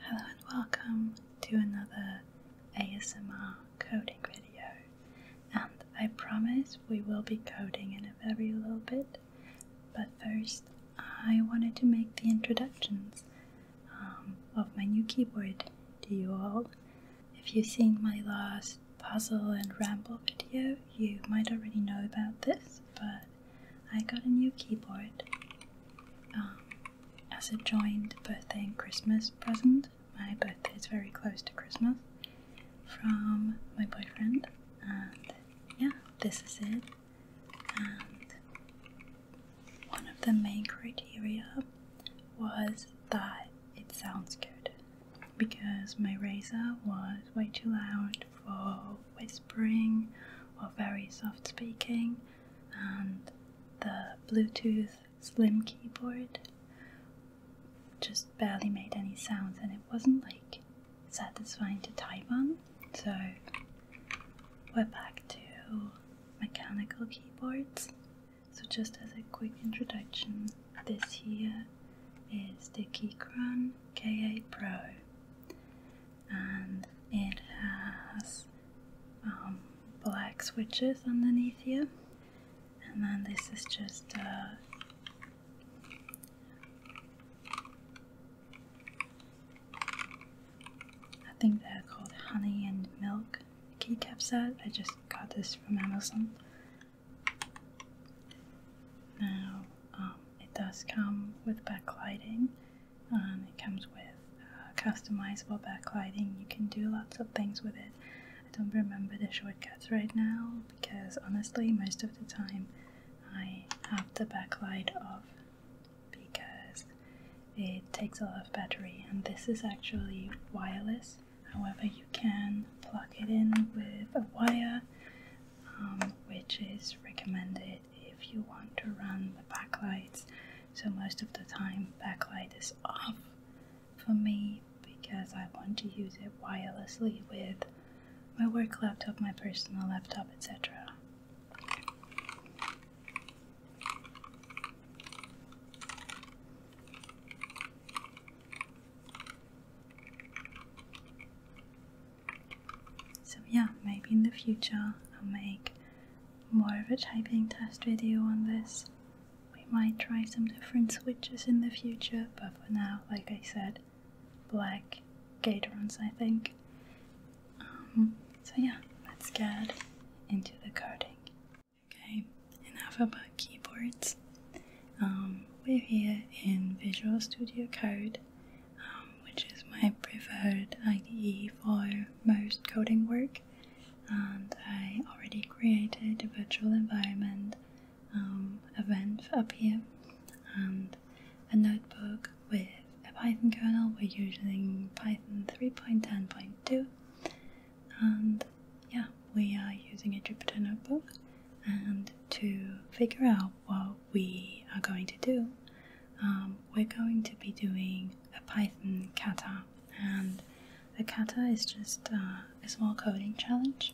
Hello and welcome to another ASMR coding video and I promise we will be coding in a very little bit but first I wanted to make the introductions um, of my new keyboard to you all. If you've seen my last puzzle and ramble video you might already know about this but I got a new keyboard um, as a joint birthday and Christmas present. My birthday is very close to Christmas from my boyfriend, and yeah, this is it. And one of the main criteria was that it sounds good because my razor was way too loud for whispering or very soft speaking and the Bluetooth slim keyboard just barely made any sounds and it wasn't like satisfying to type on. So we're back to mechanical keyboards. So just as a quick introduction, this here is the Keychron KA Pro and it has um, black switches underneath here and then this is just a uh, I think they're called honey and milk keycap set. I just got this from Amazon. Now, um, it does come with backlighting, um, it comes with uh, customizable backlighting. You can do lots of things with it. I don't remember the shortcuts right now because honestly, most of the time I have the backlight off because it takes a lot of battery and this is actually wireless. However, you can plug it in with a wire, um, which is recommended if you want to run the backlights. So most of the time backlight is off for me because I want to use it wirelessly with my work laptop, my personal laptop, etc. So yeah, maybe in the future I'll make more of a typing test video on this. We might try some different switches in the future, but for now, like I said, black Gatorons, I think. Um, so yeah, let's get into the coding. Okay, enough about keyboards. Um, we're here in Visual Studio Code um, which is my preferred IDE for most coding work. And I already created a virtual environment um, event up here and a notebook with a Python kernel. We're using Python 3.10.2 and yeah, we are using a Jupyter notebook and to figure out what we are going to do um, we're going to be doing a Python kata, and the kata is just uh, a small coding challenge.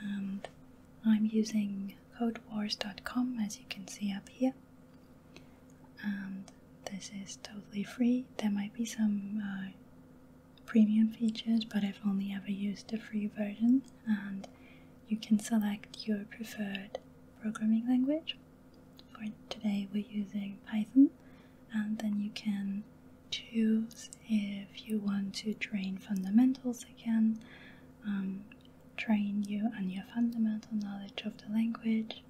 And I'm using codewars.com as you can see up here, and this is totally free. There might be some uh, premium features, but I've only ever used the free version, and you can select your preferred programming language. For today we're using Python and then you can choose if you want to train fundamentals again, um, train you and your fundamental knowledge of the language.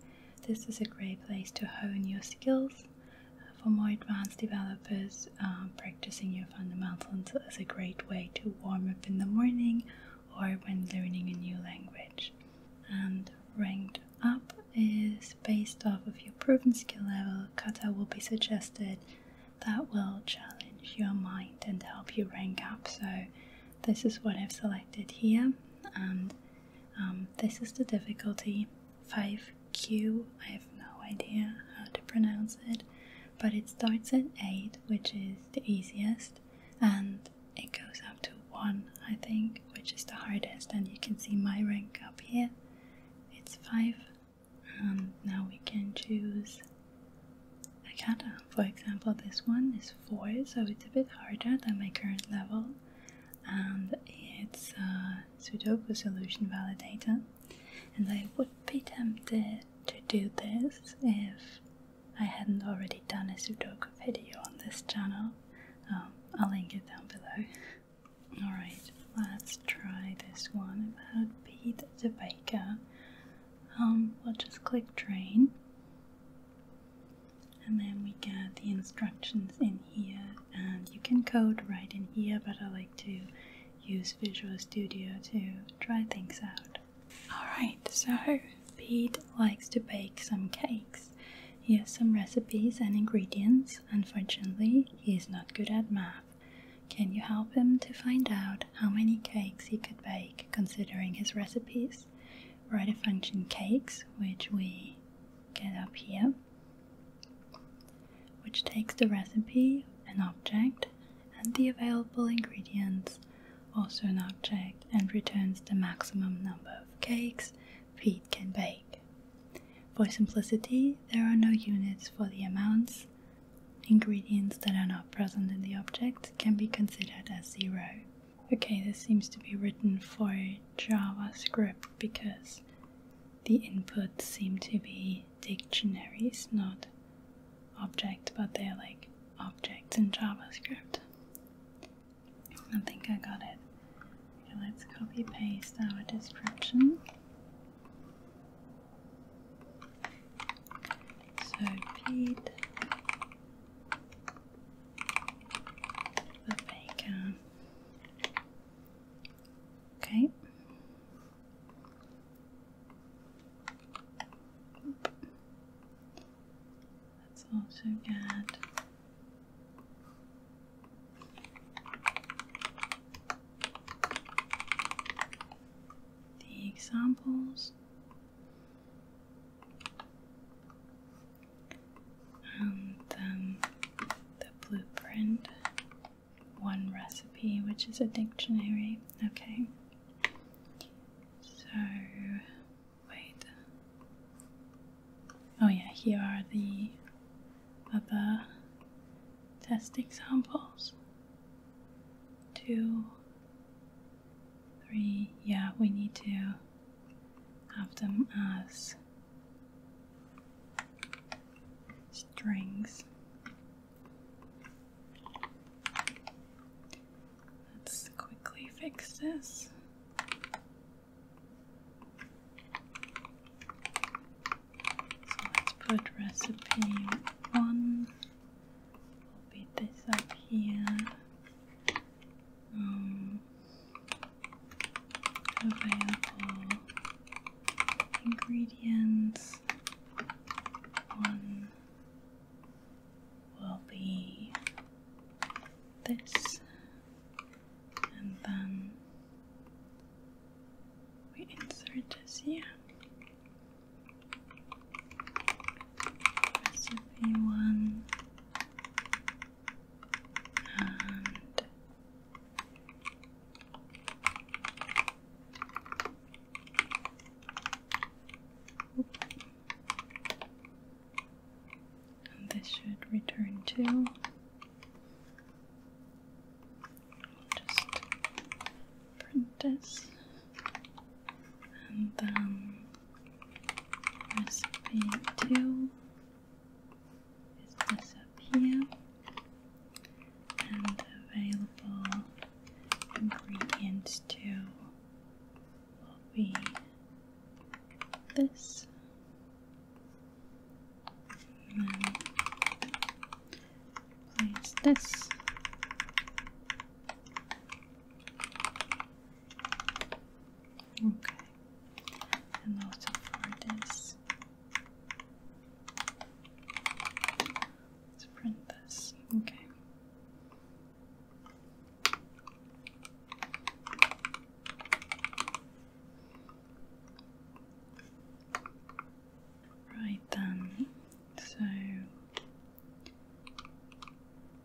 This is a great place to hone your skills. Uh, for more advanced developers, uh, practicing your fundamentals is a great way to warm up in the morning or when learning a new language. And ranked up is based off of your proven skill level, kata will be suggested that will challenge your mind and help you rank up. So, this is what I've selected here, and um, this is the difficulty 5Q. I have no idea how to pronounce it, but it starts at 8, which is the easiest, and it goes up to 1 I think, which is the hardest and you can see my rank up here, it's 5 and um, now we can choose a kata. For example this one is 4 so it's a bit harder than my current level and it's uh, Sudoku solution validator and I would be tempted to do this if I hadn't already done a Sudoku video on this channel. Um, I'll link it down below. Alright, let's try this one about Pete the Baker. Um, we'll just click train. And then we get the instructions in here and you can code right in here but I like to use Visual Studio to try things out. Alright, so Pete likes to bake some cakes. He has some recipes and ingredients. Unfortunately, he is not good at math. Can you help him to find out how many cakes he could bake considering his recipes? Write a function cakes, which we get up here, which takes the recipe, an object, and the available ingredients, also an object, and returns the maximum number of cakes Pete can bake. For simplicity, there are no units for the amounts. Ingredients that are not present in the object can be considered as zero. Okay, this seems to be written for JavaScript because the inputs seem to be dictionaries, not object, but they're like objects in JavaScript. I think I got it. let's copy paste our description. So Pete, the baker. Okay. Let's also get the examples. And then the blueprint, one recipe, which is a dictionary. Okay, so, wait. Oh, yeah, here are the other test examples. Two, three, yeah, we need to have them as strings. Let's quickly fix this. So let's put recipe one. i beat this up here. Um, available ingredients one will be this, and then we insert this here. Recipe one and this should return to. We'll just print this and then recipe 2 is up here and available ingredients to will be this place this okay and also for this Let's print this. Okay. Right then, so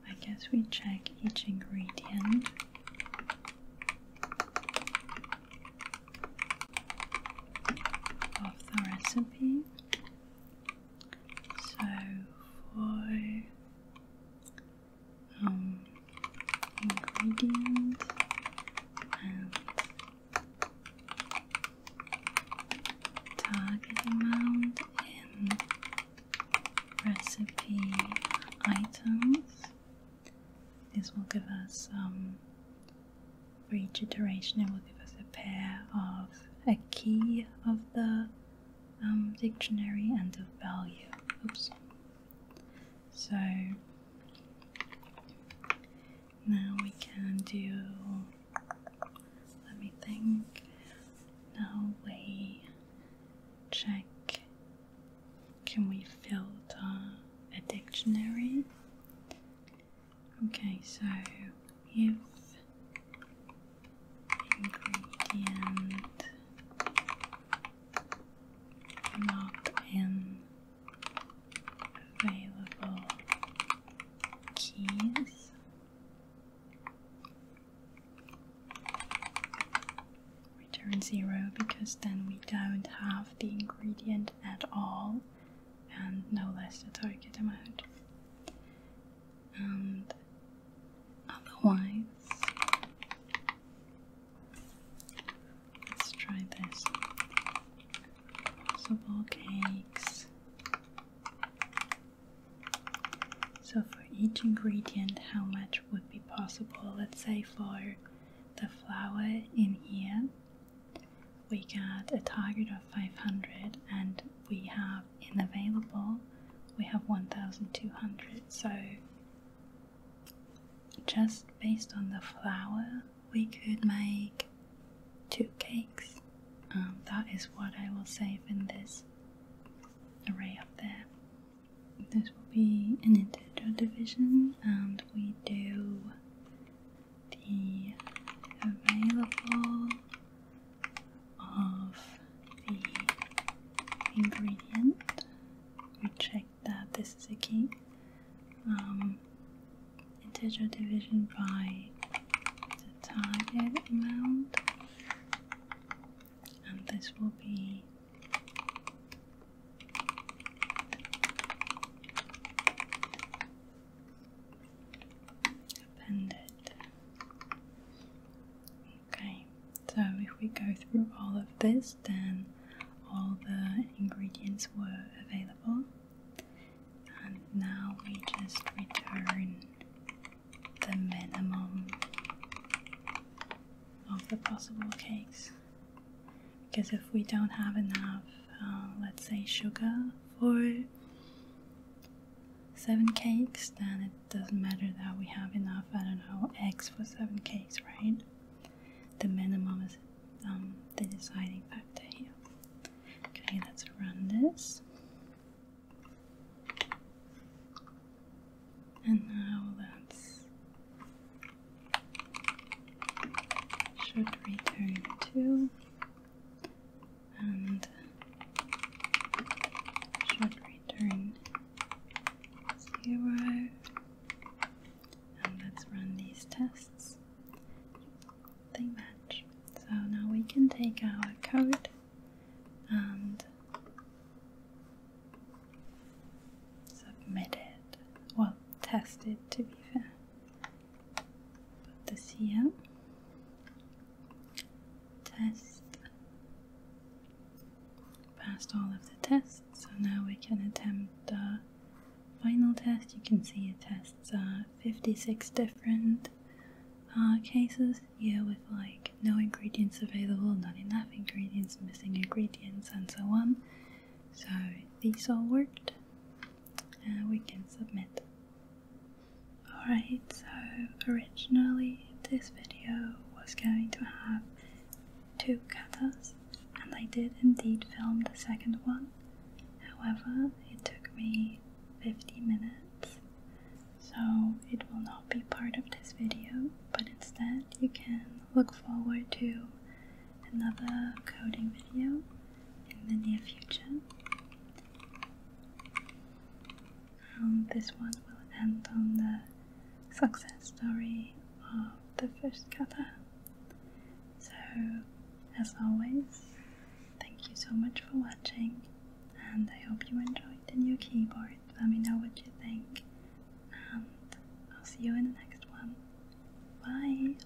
I guess we check each ingredient. Of the recipe, so for um, ingredient and target amount in recipe items. these will give us um, for each iteration, it will give us a pair of a key of the um, dictionary and the value. Oops. So now we can do. Let me think. Now we check. Can we filter a dictionary? Okay, so if ingredient not in available keys return zero because then we don't have the ingredient at all and no less the target amount. And otherwise, let's try this possible cakes. So, for each ingredient, how much would be possible? Let's say for the flour in here, we got a target of 500 and we have in available we have 1200 so just based on the flour we could make two cakes um, that is what i will save in this array up there this will be an integer division and we do the available of the ingredient. We check that this is a key. Um, integer division by the target amount, and this will be append Okay, so if we go through all of this, then all the ingredients were available, and now we just return the minimum of the possible cakes because if we don't have enough, uh, let's say, sugar for seven cakes, then it doesn't matter that we have enough, I don't know, eggs for seven cakes, right? The minimum is um, the deciding factor here. Okay, let's run this. And now let should return to and should return zero. And let's run these tests. They match. So now we can take our code and submit it. Well, test it to be fair. Put Pathesia test passed all of the tests so now we can attempt the final test you can see it tests 56 different uh, cases here, with like no ingredients available not enough ingredients missing ingredients and so on so these all worked uh, we can submit. Alright, so originally this video was going to have two katas, and I did indeed film the second one. However, it took me 50 minutes, so it will not be part of this video, but instead you can look forward to another coding video in the near future. Um, this one will end on the success story of the first kata. So, as always, thank you so much for watching, and I hope you enjoyed the new keyboard. Let me know what you think, and I'll see you in the next one. Bye!